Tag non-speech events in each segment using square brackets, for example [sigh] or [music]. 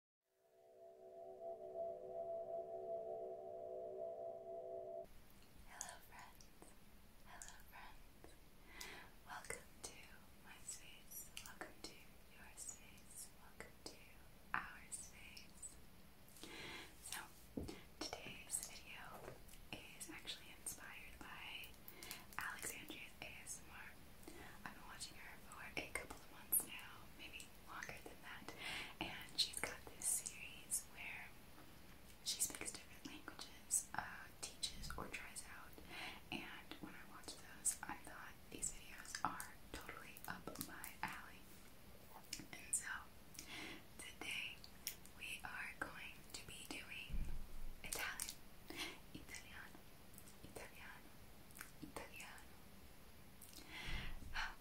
Hello, friends. Hello, friends. Welcome to my space. Welcome to your space. Welcome to our space. So, today's video is actually inspired by Alexandria's ASMR. I've been watching her for a couple of months now, maybe longer than that. And she's got this series where she speaks different languages, uh, teaches or tries out. And when I watched those, I thought these videos are totally up my alley. And so today we are going to be doing Italian. Italiano. Italiano, Italiano. Ah,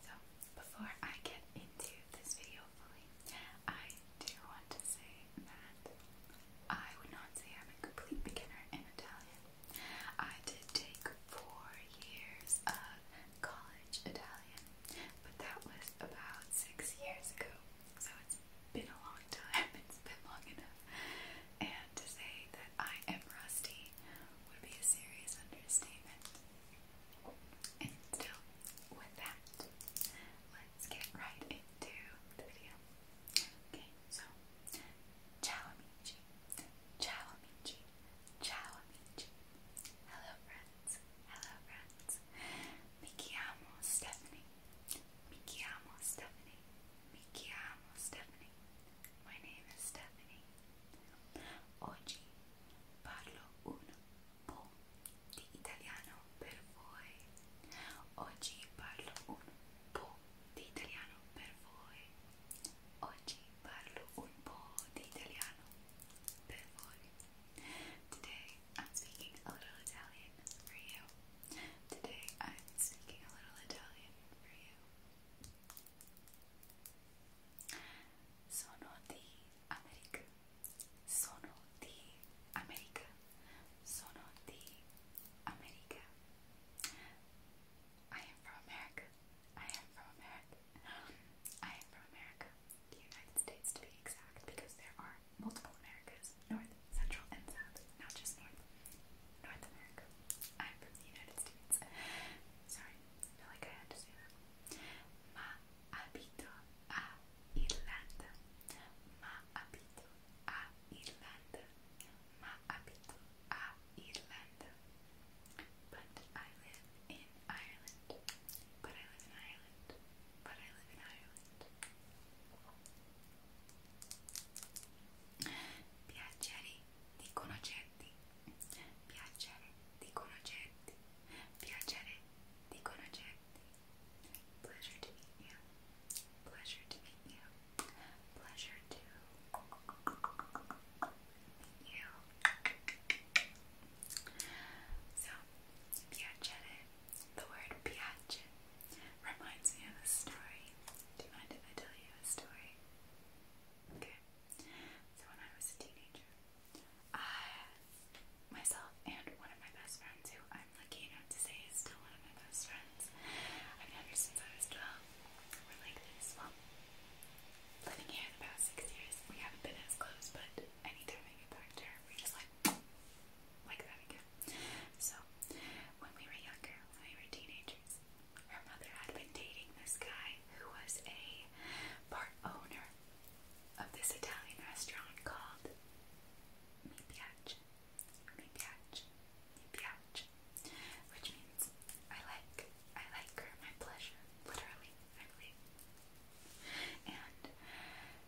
so, before I get into this video I do want to say that I would not say I'm a complete beginner in Italian. I did take four years of college Italian, but that was about six years ago, so it's been a long time, [laughs] it's been long enough and to say that I am rusty would be a serious understatement. And still, with that, let's get right into the video. Okay, so, ciao amici, ciao amici, ciao amici. Hello friends, hello friends. Mi chiamo Stephanie, mi chiamo Stephanie, mi chiamo Stephanie. My name is Stephanie. Oggi parlo un po' di italiano per voi. Oggi Today I'm speaking a little Italian for you. Today I'm speaking a little Italian for you. Sono I am from America. I am from America. I am from America. The United States to be exact because there are multiple Americas, North, Central, and South, not just North. North America. I'm from the United States. Sorry, feel like I had that. Ma abito a Irlanda. Ma abito a Irlanda. Ma abito a Irlanda. But I live in Ireland. But I live in Ireland. But I live in Ireland. Piacere dicono oggetti, piacere, dicono oggetti, piacere, dicono oggetti. Pleasure to meet you, pleasure to meet you, pleasure to you. So, piacere, the word piace reminds me of a story. Do you mind if I tell you a story? Okay. So when I was a teenager, I myself and one of my best friends, who I'm lucky enough to say is still one of my best friends, I've known her since I was 12, we're like this. Well, living here the past six years, we haven't been as close, but anytime I get back to her, we just like like that again. So when we were younger, when we were teenagers, her mother had been dating this guy who was a part owner of this Italian restaurant called Mi Piace. Mi Which means I like. I like her, my pleasure. Literally, I And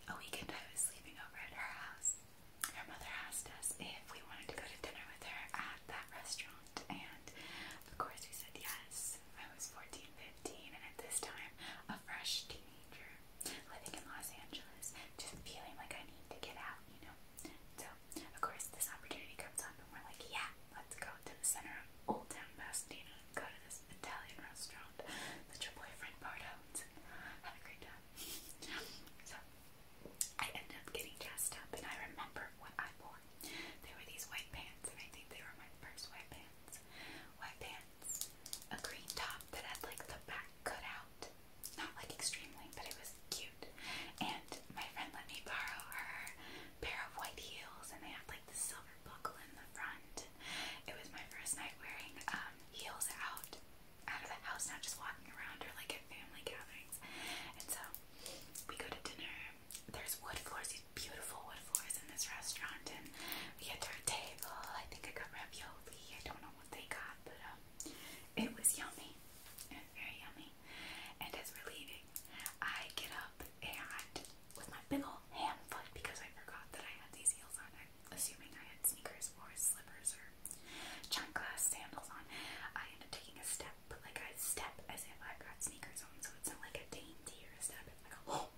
a weekend I was sleeping over at her house. Her mother asked us if we wanted to go to dinner with her at that restaurant around? And of course we said yes. I was 14, 15, and at this time, a fresh teenager living in Los Angeles, just feeling like I need to get out, you know? So, of course, this opportunity comes up, and we're like, yeah, let's go to the center of Old Town Pasadena and go to this Italian restaurant that your boyfriend part owns. Have a great time. so, I ended up getting dressed up, and I remember what I wore. They were these white pants, and I think they were my first white pants. White pants, a green top that had like the back cut out, not like extremely, but it was cute. And my friend let me borrow her pair of white heels, and they had like the silver buckle in the front. It was my first night wearing um, heels out, out of the house, not just walking around or like at family gatherings. And so we go to dinner. There's wood floors, these beautiful wood floors in this restaurant, and we get to our table. I think I got ravioli. I don't know what they got, but um, it was yummy. It very yummy. And as we're leaving, I get up and with my big old hand foot because I forgot that I had these heels on. I'm assuming I had sneakers or slippers or chunk glass sandals on. I end up taking a step but like I step as if I've got sneakers on, so it's not like a dainty or a step. [gasps]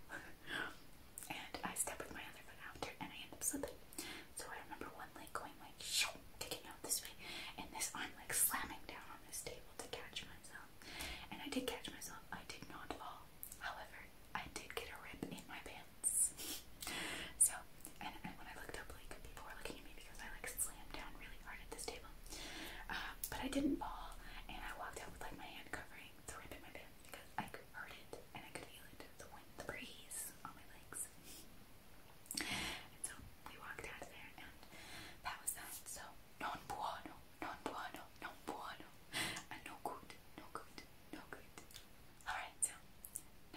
and I step with my other foot after, and I end up slipping. So I remember one leg going like kicking out this way, and this I'm like slamming down on this table to catch myself. And I did catch myself. I did not fall. However, I did get a rip in my pants. [laughs] so and, when I looked up, like people looking at me because I like slammed down really hard at this table. Uh, but I didn't fall, and I walked out with like my hand covering the rip in my pants because I could heard it and I could feel it the wind, breeze on my legs. and so we walked out of there, and that was that. So non buono, non buono, non buono, and no good, no good, no good. All right, so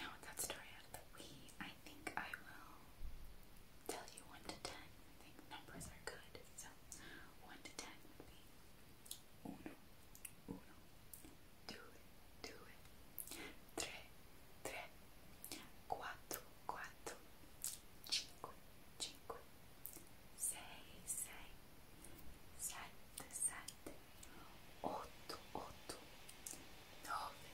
now that story out I think I will tell you 1 to 10. I think numbers are good. So 1 to 10 would be uno, uno, due, due, tre, tre, quattro, quattro, cinque, cinque, sei, sei, sette, sette, otto, otto, nove,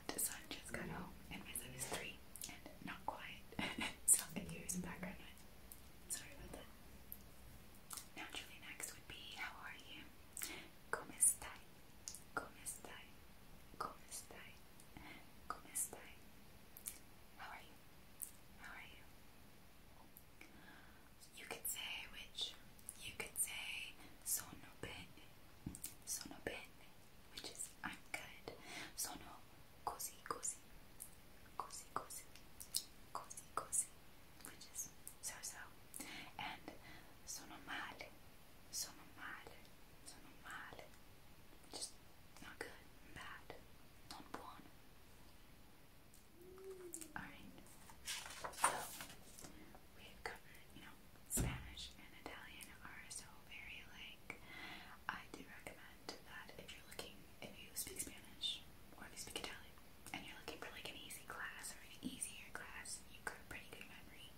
and just got home, and my son is three and not quiet, [laughs] so I can background noise. Sorry about that. Naturally, next would be how are you? Come estai? Come estai? Come estai? Come estai? How are you? How are you? You could say which. You could say sono bene. Sono bene which is I'm good. Sono così così, così così, così così, which is so so, and sono male, sono male, sono male, which is not good, bad, non buono. Alright, so we have covered, you know, Spanish and Italian are so very like. I do recommend that if you're looking, if you speak Spanish or if you speak Italian and you're looking for like an easy class or an easier class, you could pretty good memory,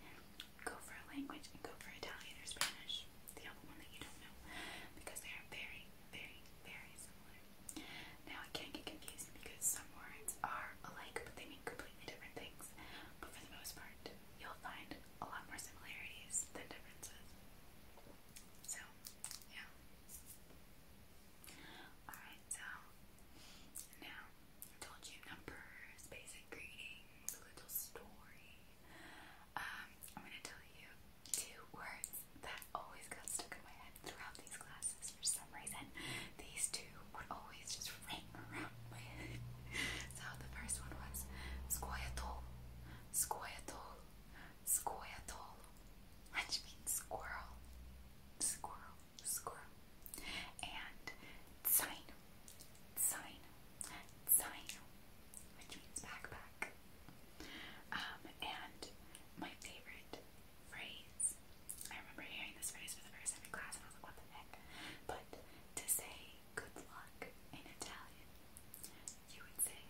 go for a language and go for Italian or Spanish, the other one that you don't know, because they are very, very, very similar. Now, I can not get confused because some words are alike, but they mean completely different things. But for the most part, you'll find a lot more similarities than differences. So, yeah. Alright, so now I told you numbers, basic greetings, little story. Um, I'm gonna tell you two words that always got stuck in my head throughout these classes for some reason. These two would always just ring so the first one was Squirtle, Squirtle, Squirtle, which means squirrel, squirrel, squirrel, and sign, sign, sign, which means backpack. Um, and my favorite phrase, I remember hearing this phrase for the first time in class, and I was like, what the heck? But to say good luck in Italian. You would say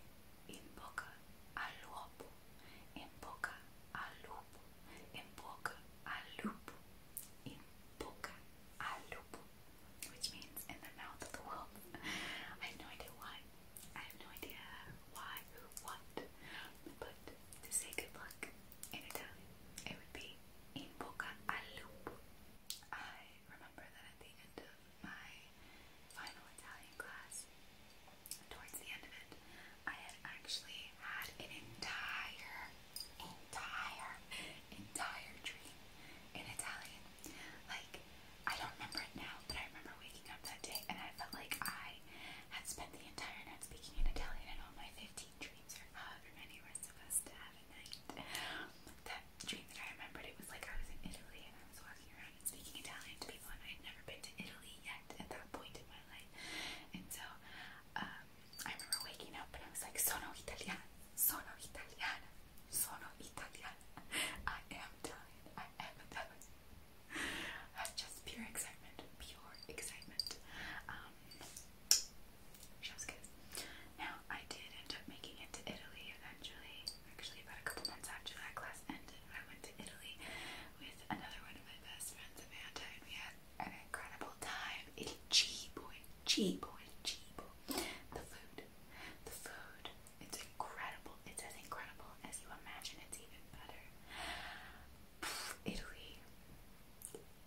in bocca al lupo, in bocca al lupo, in bocca al lupo, in bocca al lupo, which means in the mouth of the wolf. [laughs] I have no idea why. I have no idea why or what, but to say good luck in Italian, it would be in bocca al lupo remember that at the end of my final Italian class, towards the end of it, I had actually had an entire, entire, entire dream in Italian. Like, I don't remember it now, but I remember waking up that day and I felt like I had spent the entire night speaking in Italian and all my 15 dreams are however many we supposed to have a night dream that I remembered, it was like I was in Italy and I was walking around and speaking Italian to people, and I had never been to Italy yet at that point in my life. And so um, I remember waking up and I was like, Sono Italiana, Sono Italiana, Sono Italiana. I am Italian, I am Italian. [laughs] Uh, just pure excitement, pure excitement. Um, now, I did end up making it to Italy eventually. Actually, about a couple months after that class ended, I went to Italy with another one of my best friends, Amanda, and an incredible time. Il cibo, il cibo, il cibo. The food. The food. It's incredible. It's as incredible as you imagine. It's even better. Italy.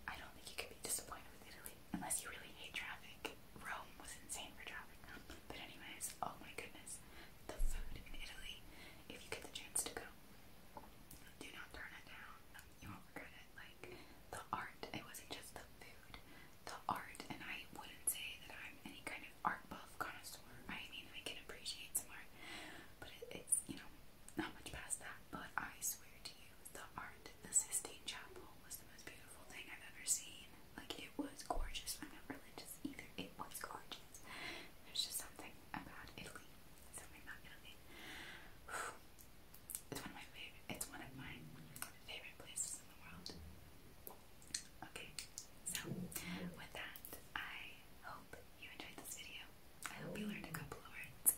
I don't think you could be disappointed with Italy unless you really hate traffic. Rome was insane for traffic. [laughs] But anyways, oh my goodness, the food in Italy. If you get the chance to go, do not turn it down. You won't regret it. Like the art, it wasn't just the food, the art. And I wouldn't say that I'm any kind of art buff connoisseur. I mean, I can appreciate some art, but it's you know not much past that. But I swear to you, the art the Sistine Chapel was the most beautiful thing I've ever seen. Like, it was gorgeous. I'm not religious either. It was gorgeous. There's just something about Italy. Something about Italy. [sighs] It's one of my favorite. It's one of my favorite places in the world. Okay, so with that, I hope you enjoyed this video. I hope you learned a couple of words,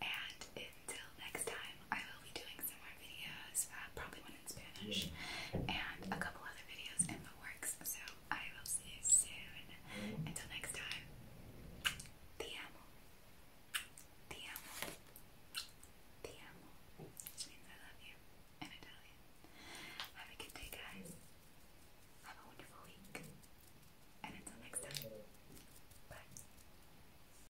and until next time, I will be doing some more videos, uh, probably one in Spanish, and a couple other videos in the works. So I will see you soon. Until next time, te amo, te amo, te amo, I love you in Italian. Have a good day, guys. Have a wonderful week. And until next time, bye.